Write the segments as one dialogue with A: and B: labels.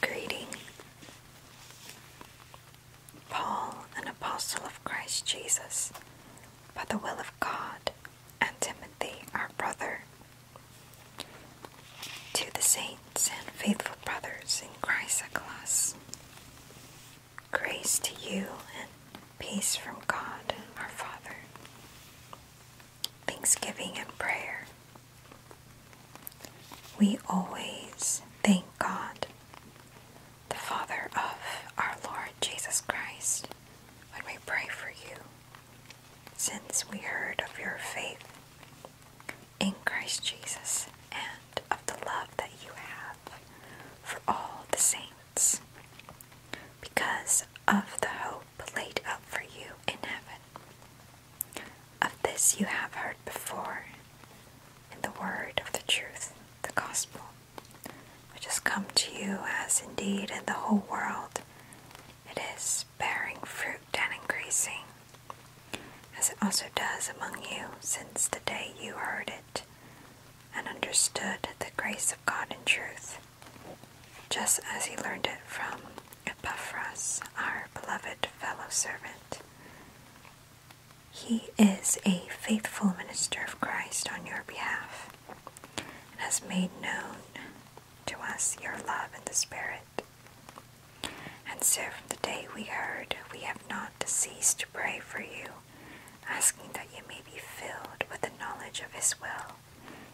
A: Greeting. Paul, an apostle of Christ Jesus, by the will of God, and Timothy, our brother, to the saints and faithful brothers in Christ Chrysochlas, Grace to you and peace from God our Father. Thanksgiving and prayer. We always thank God, the Father of our Lord Jesus Christ, when we pray for you, since we heard of your faith in Christ Jesus and of the love that you have for all the saints, because of the hope laid up for you in heaven. Of this you have heard before in the word of the truth, the gospel, which has come to you as indeed in the whole world it is bearing fruit and increasing, as it also does among you since the day you heard it and understood the grace of God in truth, just as he learned it from Epaphras, our beloved fellow servant. He is a faithful minister of Christ on your behalf and has made known to us your love in the Spirit. And so, from the day we heard, we have not ceased to pray for you asking that you may be filled with the knowledge of His will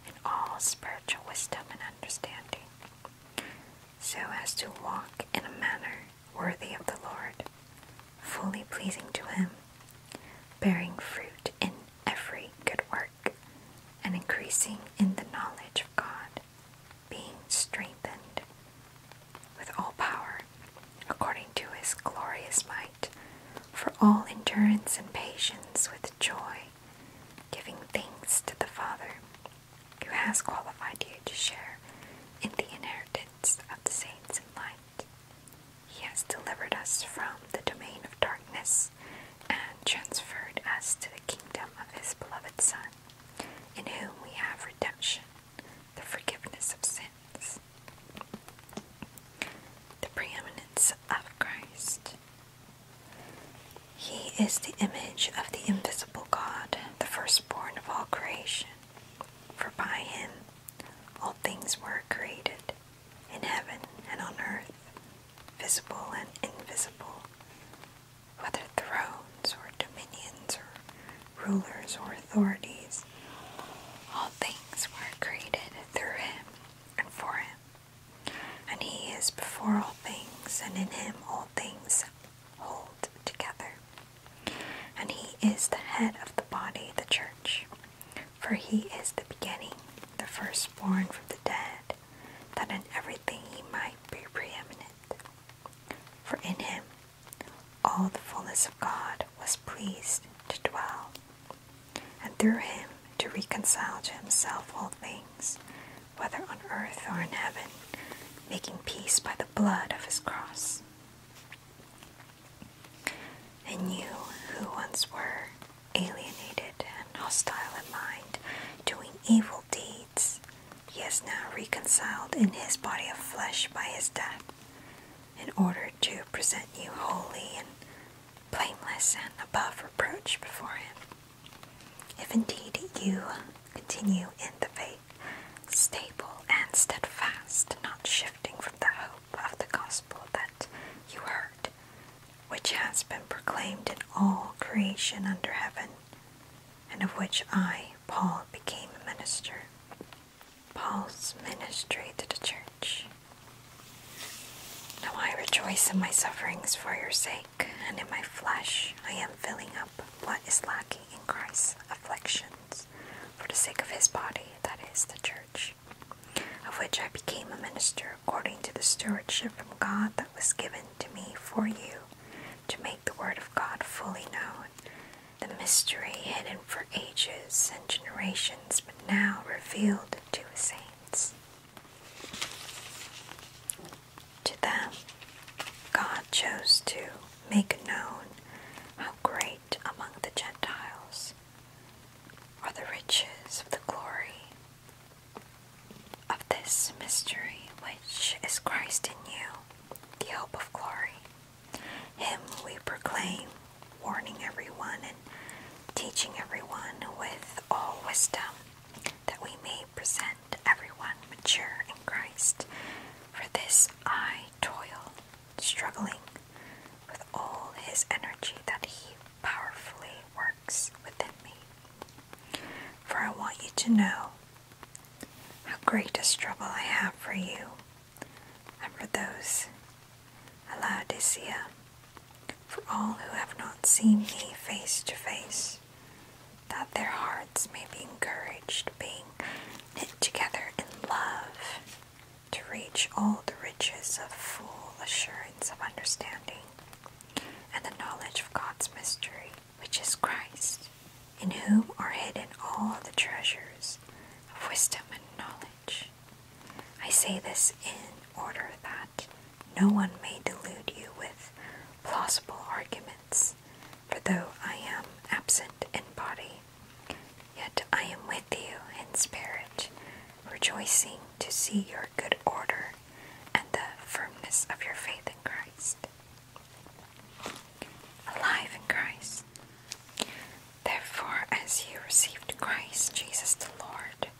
A: and all spiritual wisdom and understanding, so as to walk in a manner worthy of the Lord, fully pleasing to Him, bearing fruit in every good work, and increasing in the knowledge of God, being strengthened with all power, according to his glorious might, for all endurance and patience with joy, giving thanks to the Father, who has qualified you to share in the inheritance of the saints in light. He has delivered us from the domain of darkness and transferred us to the kingdom of his beloved Son, in whom we have redemption, the forgiveness of sins, the preeminence of Christ. He is the image of the invisible God, the firstborn of all creation. For by him all things were created, in heaven and on earth, visible and invisible, whether thrones or dominions or rulers, or authorities. All things were created through him and for him. And he is before all things, and in him all things hold together. And he is the head of the body, the church. For he is the beginning, the firstborn from the dead, that in everything he might be preeminent. For in him all the fullness of God was pleased to dwell, and through him to reconcile to himself all things, whether on earth or in heaven, making peace by the blood of his cross. And you, who once were alienated and hostile in mind, doing evil deeds, he is now reconciled in his body of flesh by his death, in order to present you holy and blameless and above reproach before him. If indeed you continue in the faith, stable and steadfast, not shifting from the hope of the gospel that you heard, which has been proclaimed in all creation under heaven, and of which I, Paul, became a minister. Paul's ministry to the church. Now I rejoice in my sufferings for your sake, and in my flesh I am filling up what is lacking in Christ's afflictions for the sake of his body, that is, the church, of which I became a minister according to the stewardship from God that was given to me for you to make the Word of God fully known, the mystery hidden for ages and generations, but now revealed to saints. To them, God chose to make known how great among the Gentiles are the riches of the glory of this mystery, which is Christ in you the hope of glory. Him we proclaim, warning everyone and teaching everyone with all wisdom, that we may present everyone mature in Christ. For this I toil, struggling with all his energy that he powerfully works within me. For I want you to know how great a struggle I have for you and for those, Laodicea, for all who have not seen me face to face, that their hearts may be encouraged, being knit together in love, to reach all the riches of full assurance of understanding and the knowledge of God's mystery which is Christ, in whom are hidden all the treasures of wisdom and knowledge. I say this in order that no one may delude you with plausible arguments, for though I am absent in body, yet I am with you in spirit, rejoicing to see your good order and the firmness of your faith in Christ alive in Christ. Therefore, as you received Christ Jesus the Lord,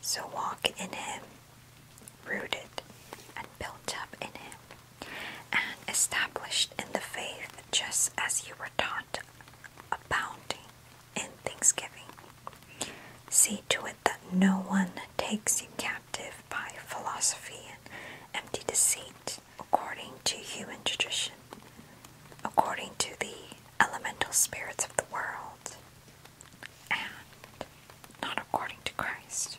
A: so walk in him, rooted and built up in him, and established in the faith just as you were taught, abounding in thanksgiving. See to it that no one takes you captive by philosophy and empty deceit according to human tradition, according to the elemental spirits of the world, and not according to Christ.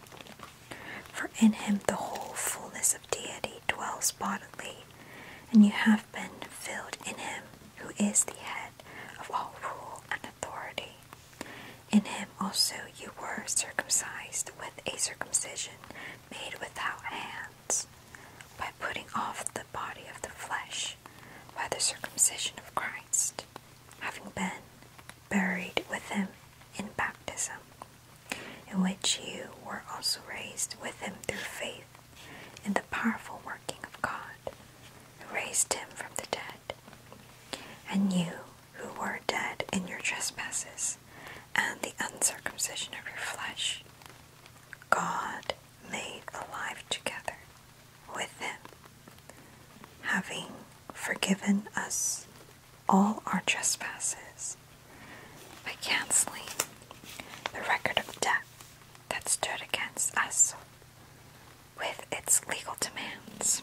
A: For in him the whole fullness of deity dwells bodily, and you have been filled in him who is the head of all rule and authority. In him also you were circumcised with a circumcision made without hands, by putting off the body of the flesh by the circumcision of Christ, having been buried with him in baptism, in which you were also raised with him through faith in the powerful working of God, who raised him from the dead. And you, who were dead in your trespasses and the uncircumcision of your flesh, God made alive together with them, having forgiven us all our trespasses by canceling the record of debt that stood against us with its legal demands.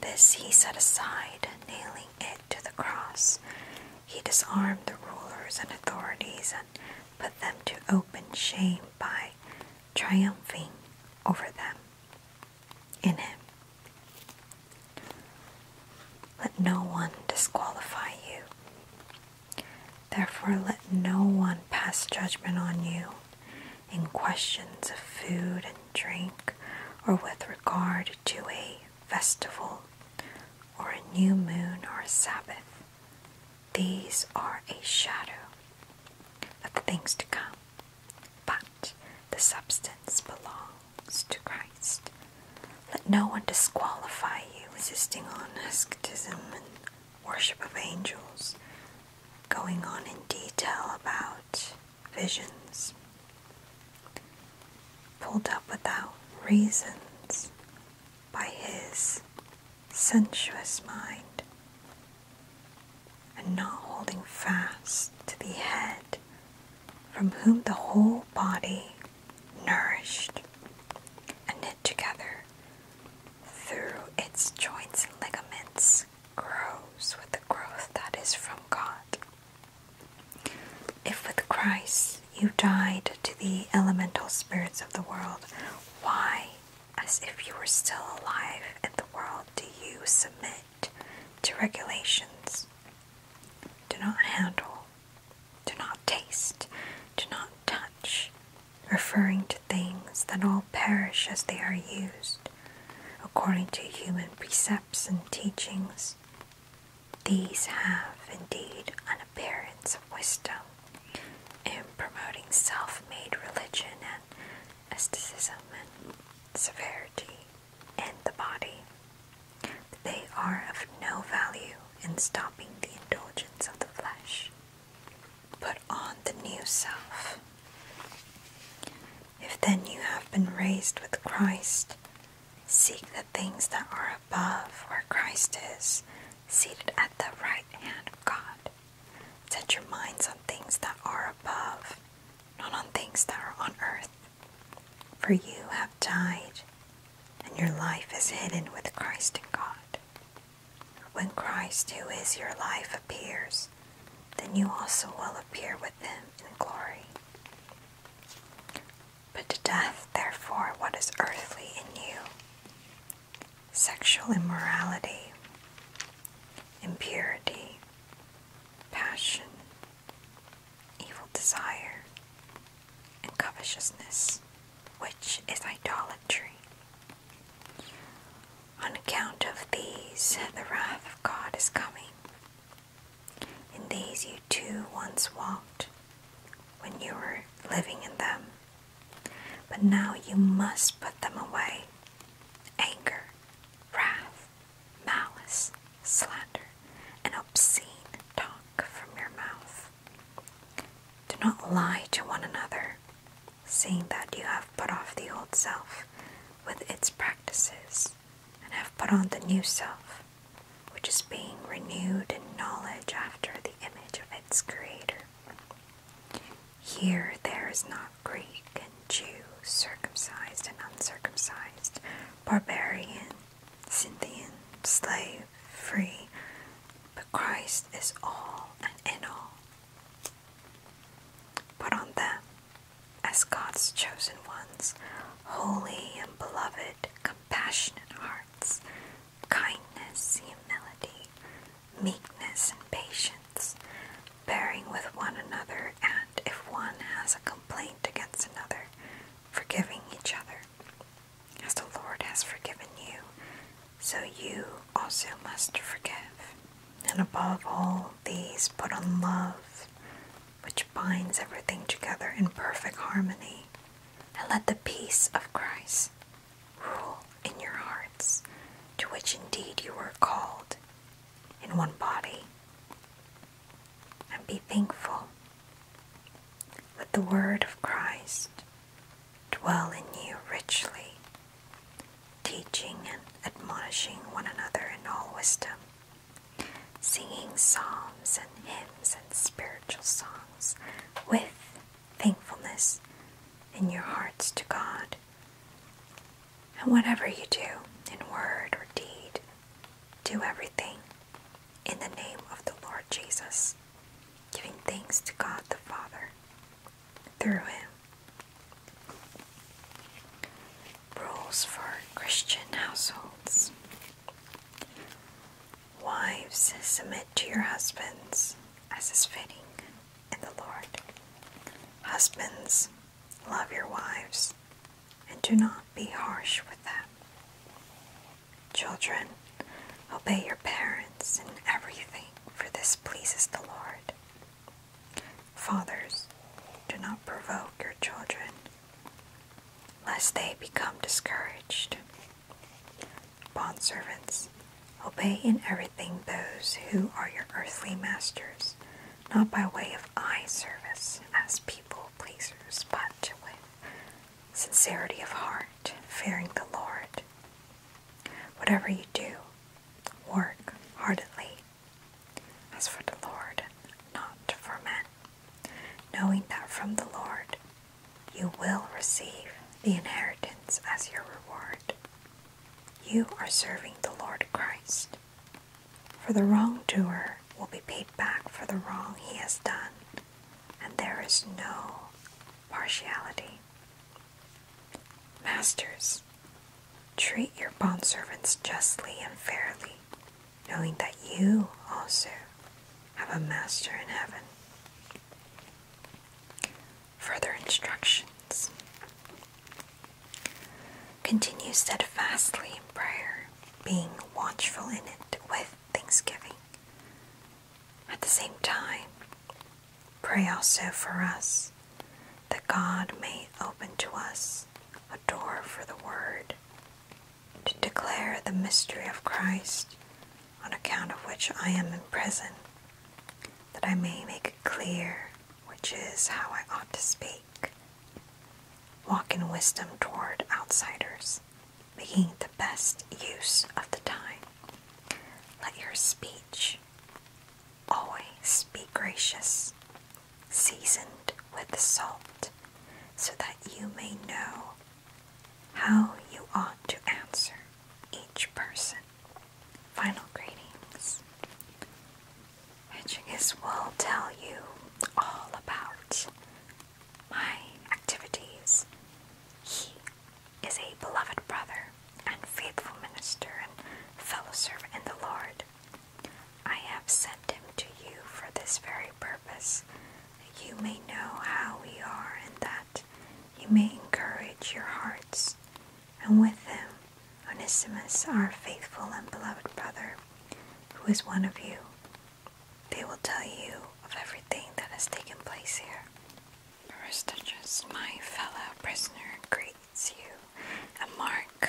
A: This he set aside, nailing it to the cross. He disarmed the rulers and authorities and put them to open shame by triumphing over them in him. Let no one disqualify you. Therefore, let no one pass judgment on you in questions of food and drink, or with regard to a festival, or a new moon, or a Sabbath. These are a shadow of the things to come, but the substance belongs to Christ. Let no one disqualify you, insisting on asceticism and worship of angels, going on in detail about visions pulled up without reasons by his sensuous mind and not holding fast to the head from whom the whole body nourished and knit together through its joints and ligaments grows with the growth that is from God. If with Christ you died to the elemental spirits of the world, why, as if you were still alive in the world, do you submit to regulations? Do not handle, do not taste, do not touch, referring to things that all perish as they are used according to human precepts and teachings, these have indeed an appearance of wisdom in promoting self made religion and asceticism and severity in the body, but they are of no value in stopping the indulgence of the flesh put on the new self. If then you have been raised with Christ, seek the things that are above where Christ is, seated at the right hand of God. Set your minds on things that are above, not on things that are on earth. For you have died, and your life is hidden with Christ in God. When Christ, who is your life, appears, then you also will appear with him in glory. Put to death, therefore, what is earthly in you sexual immorality, impurity, passion, evil desire, and covetousness, which is idolatry. On account of these, the wrath of God is coming. In these you too once walked when you were living in them, but now you must put them away anger, wrath, malice, slander, and obscene talk from your mouth. Do not lie to one another, seeing that you have put off the old self with its practices and have put on the new self, which is being renewed in knowledge after the image of its creator. Here there is not Greek and Jew, circumcised and uncircumcised, barbarian, Scythian, slave, free, but Christ is all and in all. Put on them as God's chosen ones, holy and beloved, compassionate hearts, kindness, humility, meekness, and patience, bearing with one another, and if one has a complaint against another, forgiving each other. As the Lord has forgiven you, so you also must forgive. And above all these, put on love, which binds everything together in perfect harmony. And let the peace of Christ rule in your hearts, to which indeed you were called in one body. And be thankful. with the word of Christ dwell in you richly, teaching and admonishing one another in all wisdom, singing psalms and hymns and spiritual songs with thankfulness in your hearts to God. And whatever you do, in word or deed, do everything in the name of the Lord Jesus, giving thanks to God the Father through him, Rules for Christian households. Wives, submit to your husbands as is fitting in the Lord. Husbands, love your wives and do not be harsh with them. Children, Obey your parents in everything, for this pleases the Lord. Fathers, do not provoke your children, lest they become discouraged. Bondservants, obey in everything those who are your earthly masters, not by way of eye service as people pleasers, but with sincerity of heart, fearing the Lord. Whatever you do, work heartily, as for the Lord, not for men, knowing that from the Lord you will receive the inheritance as your reward. You are serving the Lord Christ. For the wrongdoer will be paid back for the wrong he has done, and there is no partiality. Masters, treat your bondservants justly and fairly, knowing that you also have a master in heaven. Further instructions Continue steadfastly in prayer, being watchful in it with thanksgiving. At the same time, pray also for us that God may open to us a door for the Word to declare the mystery of Christ, on account of which I am in prison, that I may make it clear which is how I ought to speak. Walk in wisdom toward outsiders, making the best use of the time. Let your speech always be gracious, seasoned with salt, so that you may know how you ought to answer each person. Final greetings. Hedgingus will tell you all about my activities. He is a beloved brother and faithful minister and fellow servant in the Lord. I have sent him to you for this very purpose, that you may know how we are and that you may encourage your hearts. And with him, Onesimus, our faithful and beloved brother, who is one of you. They will tell you of everything that has taken place here just my fellow prisoner, greets you. And Mark,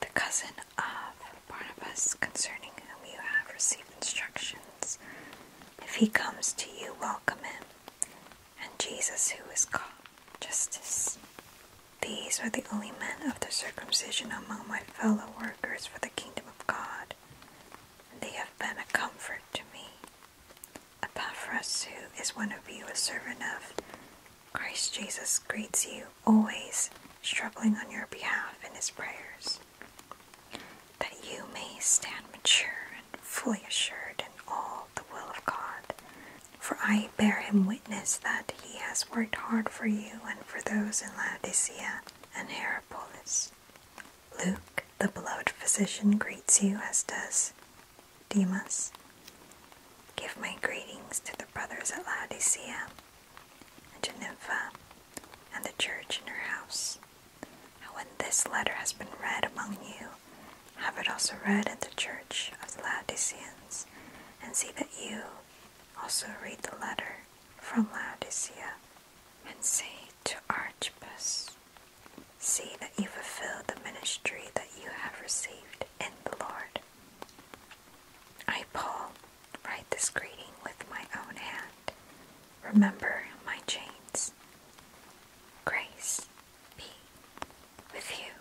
A: the cousin of Barnabas, concerning whom you have received instructions. If he comes to you, welcome him. And Jesus, who is called Justice. These are the only men of the circumcision among my fellow workers for the kingdom of God they have been a comfort to me. Epaphras, who is one of you, a servant of Christ Jesus, greets you, always struggling on your behalf in his prayers, that you may stand mature and fully assured in all the will of God. For I bear him witness that he has worked hard for you and for those in Laodicea and Hierapolis Luke, the beloved physician, greets you, as does Demas. Give my greetings to the brothers at Laodicea and Geneva and the church in her house. And when this letter has been read among you, have it also read in the church of the Laodiceans, and see that you also read the letter from Laodicea and say to Archippus, See that you fulfill the ministry that you have received in the Lord. I, Paul, write this greeting with my own hand. Remember my chains. Grace be with you.